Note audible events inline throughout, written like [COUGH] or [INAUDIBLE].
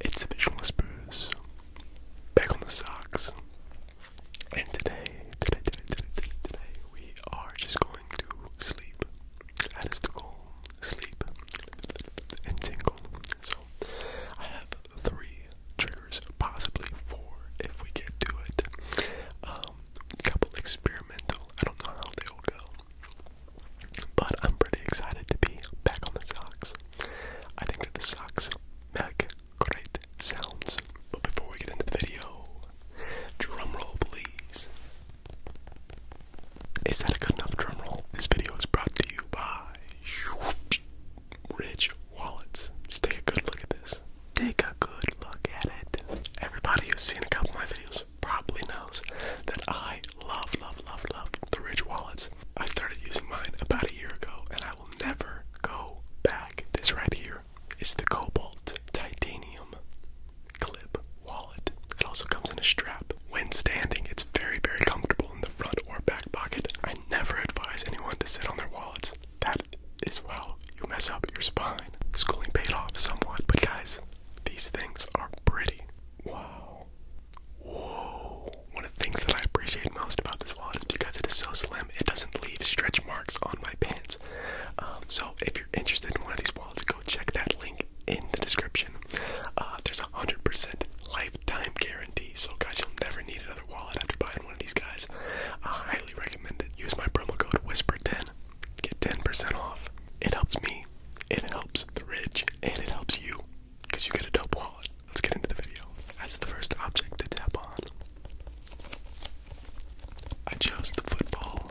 It's the Visualist Booze back on the socks. And today, today, today, today, today, we are just going to sleep and sleep and tingle. So I have three triggers, possibly four if we get to it. Um, couple experimental. I don't know how they will go, but I'm pretty excited to be back on the socks. I think that the socks make great sounds. But before we get into the video, drum roll please. Is that a good enough drumroll? This video is brought to you by Rich Wallets. Just take a good look at this. Take a good look at it. Everybody who's seen a couple of my videos probably knows that I love, love, love, love the Rich Wallets. I started using mine about a year ago and I will never go back. This right here is the Cobalt Titanium clip wallet. It also comes in a strap. When standing, it's very, very comfortable in the front or back pocket. I never advise anyone to sit on their wallets. That is how you mess up your spine. Schooling paid off somewhat, but guys, these things are pretty. Wow. Whoa. One of the things that I appreciate most about this wallet is because it is so slim, it doesn't leave stretch marks on my pants. Um, so if you're interested in one of these wallets, check that link in the description. Uh, there's a 100% lifetime guarantee, so guys, you'll never need another wallet after buying one of these guys. I highly recommend it. Use my promo code WHISPER10, get 10% off. It helps me, it helps the rich, and it helps you, because you get a dope wallet. Let's get into the video. That's the first object to tap on. I chose the football.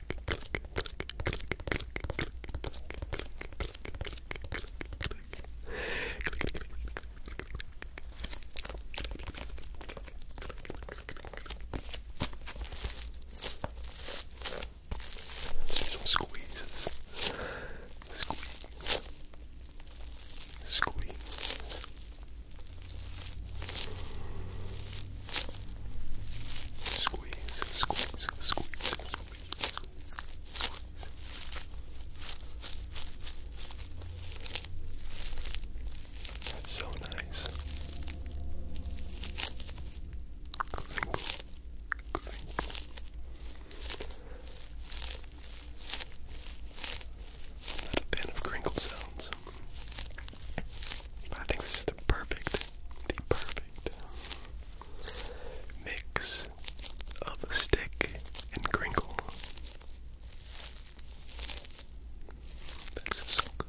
Let's do some squeezes. Squeeze. Squeeze. Squeeze, squeeze, squeeze, squeeze, That's so nice. Crinkle, a fan of crinkle sounds. I think this is the perfect, the perfect mix of stick and crinkle. That's so good.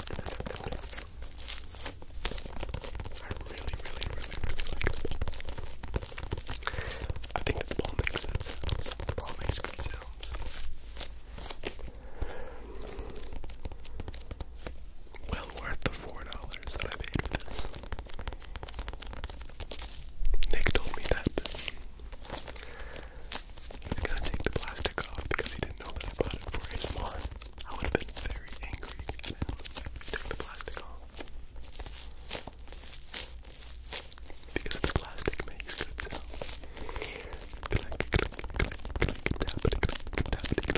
I really, really, really, really like it. I think that the ball makes good sounds. The ball makes good sounds. Well worth the four dollars that I paid for this. Nick told me that He's gonna take the plastic off because he didn't know that I bought it for his mom. I would have been very angry at him if he took the plastic off. Because the plastic makes good sounds. Click, click, click, click, tappity, click,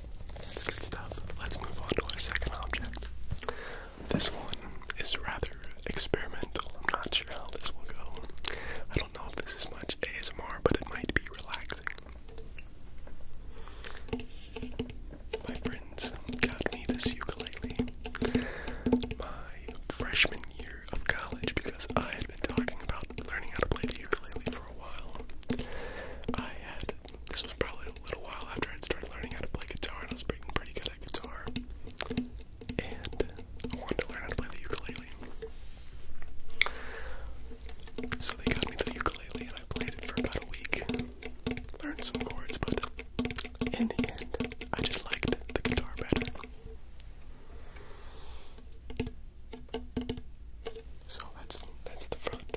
That's good stuff. Let's move on to our second object. This one is rather experimental. I'm not sure how this will go. I don't know if this is much ASMR, but it might be relaxing. My friends got me this ukulele my freshman year of college because I had been talking about learning how to play the ukulele for a while. I had this was probably a little while after I'd started learning how to play guitar, and I was pretty good at guitar. And I wanted to learn how to play the ukulele. So they got me the ukulele, and I played it for about a week. Learned some chords, but in the end, I just liked the guitar better. So that's that's the front.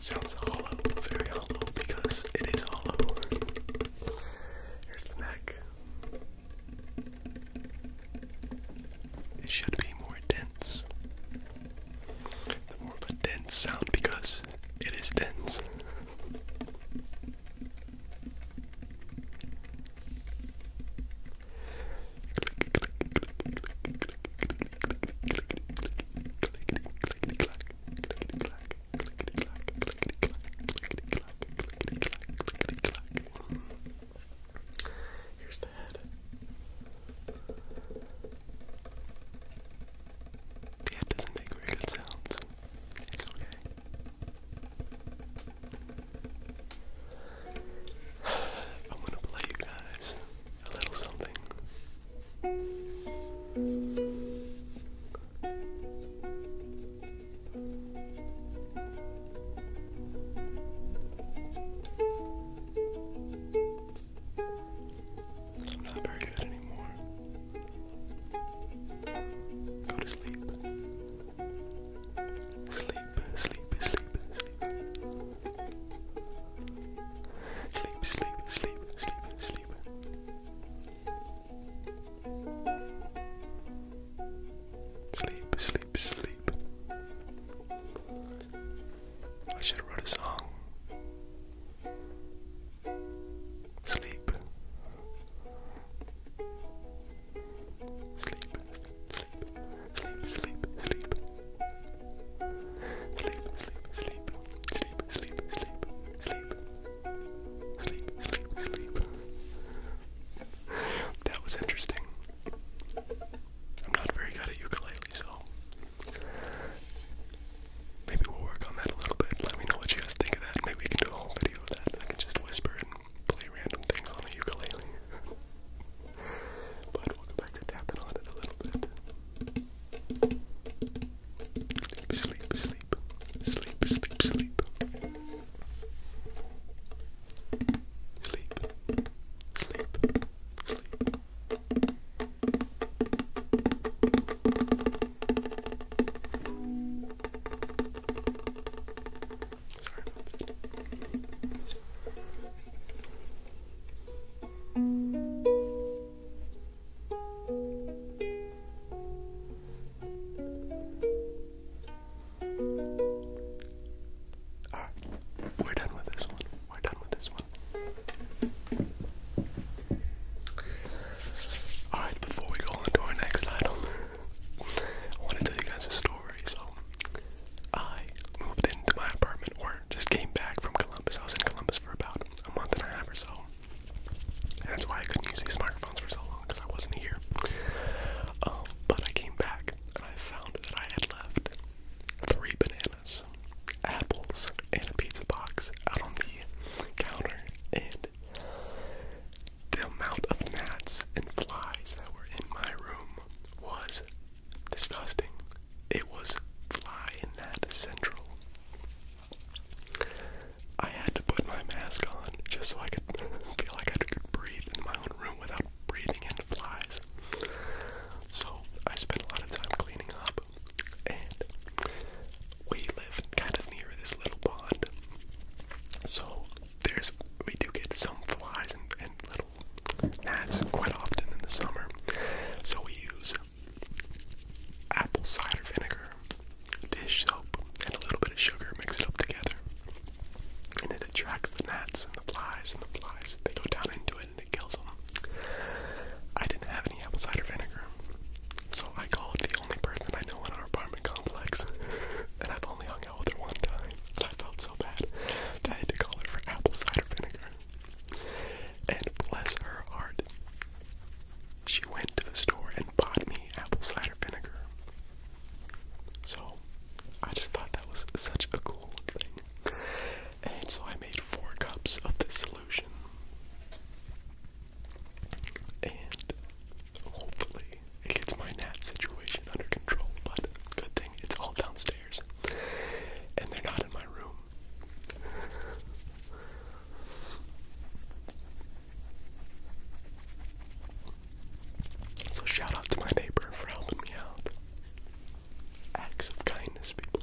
sounds hollow, very hollow, because it is hollow. Here's the neck. It should be more dense. The more of a dense sound because it is dense. Here's the head. The head doesn't make very sounds. It's okay. I'm gonna play you guys a little something. I'm not very good anymore. Go to sleep. Sleep, sleep, sleep, sleep. Sleep, sleep, sleep, sleep, sleep. Sleep, sleep, sleep. I should have wrote a song. Sleep. Sleep. Sleep. Sleep. Sleep. Sleep. Sleep. Sleep. Sleep. Sleep. Sleep. Sleep. Sleep. Sleep. Sleep. Sleep. That was interesting. I'm not very good at ukulele, so maybe we'll work on that a little bit. Let me know what you guys think of that. Maybe we can do a whole I can just whisper and play random things on a ukulele. [LAUGHS] but we back to tapping on it a little bit. Sleep, sleep, sleep, sleep, sleep. Sleep, sleep, sleep. Sorry Alright, we're done with this one. We're done with this one. Alright, before we go on to our next item, I want to tell you guys a story. So, I moved into my apartment, or just came back from Columbus. I was in Columbus for about a month and a half or so. And that's why I couldn't use these microphones for so long, because I wasn't here. Um, but I came back, and I found that I had left three bananas, apples, and a pizza box out on the counter. And the amount of gnats and flies that were in my room was disgusting. It was fly and gnat central. I had to put my mask on just so I could [LAUGHS] feel like I could breathe in my own room without breathing in flies. So I spent a lot of time cleaning up, and we live kind of near this little pond. So there's we do get some flies and, little gnats quite often in the summer. So we use apple cider vinegar, dish soap, and a little bit of sugar, mix it up together. And it attracts the gnats and the flies and the flies. They go down into it and it kills them. I didn't have any apple cider vinegar, so I called the only person I know in our apartment complex, [LAUGHS] and I've only hung out with her one time. And I felt so bad that I had to call her for apple cider vinegar. And bless her heart, she went to the store and bought me apple cider vinegar. So I just thought that was such a cool thing. And so I made four cups of this solution. And Hopefully, it gets my nat situation under control, but good thing it's all downstairs. And they're not in my room. So, shout out to my neighbor for helping me out. Acts of kindness, people.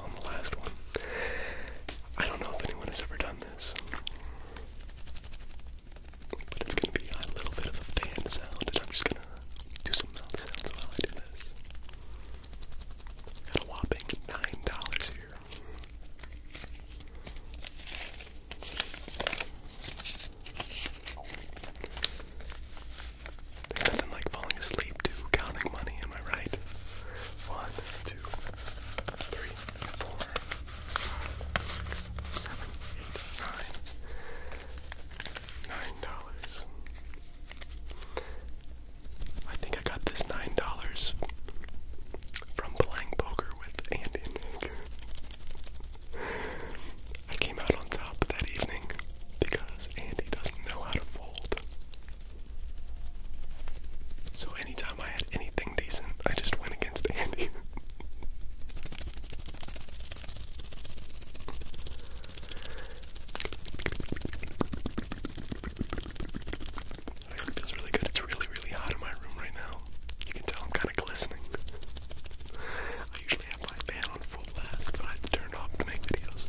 on the last one. I don't know if anyone has ever done this. But it's gonna be a little bit of a fan sound, and I'm just gonna do some mouth sounds while I do this. Got a whopping nine dollars here nothing like falling asleep to counting money, am I right? One, two, three, four, five, six, seven, eight, nine. Nine dollars. I think I got this nine dollars from playing poker with Andy I came out on top that evening because Andy doesn't know how to fold. So anytime I had anything decent, I just went against Andy. It feels really good. It's really, really hot in my room right now. You can tell I'm kind of glistening. I usually normally have my fan on full blast, but I had to turn it off to make videos.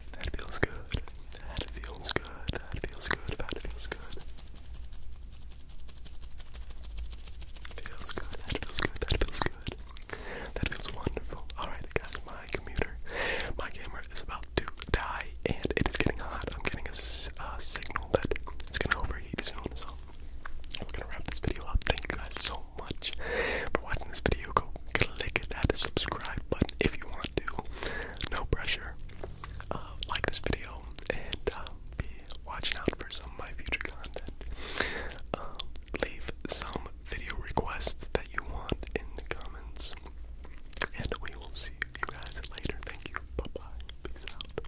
That feels good. That feels good. That feels good. That feels good. Feels good. That feels good. That feels good. That feels wonderful. Alright guys, my commuter, my camera is about to die and it is getting hot. I'm getting a uh, signal that it's gonna overheat soon, so we're gonna wrap this video up. Thank you guys so much for watching this video. Go click that subscribe button if you want to. No pressure. Uh, like this video and uh, be watching out for some of my future content. Um, leave some video requests that you want in the comments. And we will see you guys later. Thank you. Bye bye. Peace out.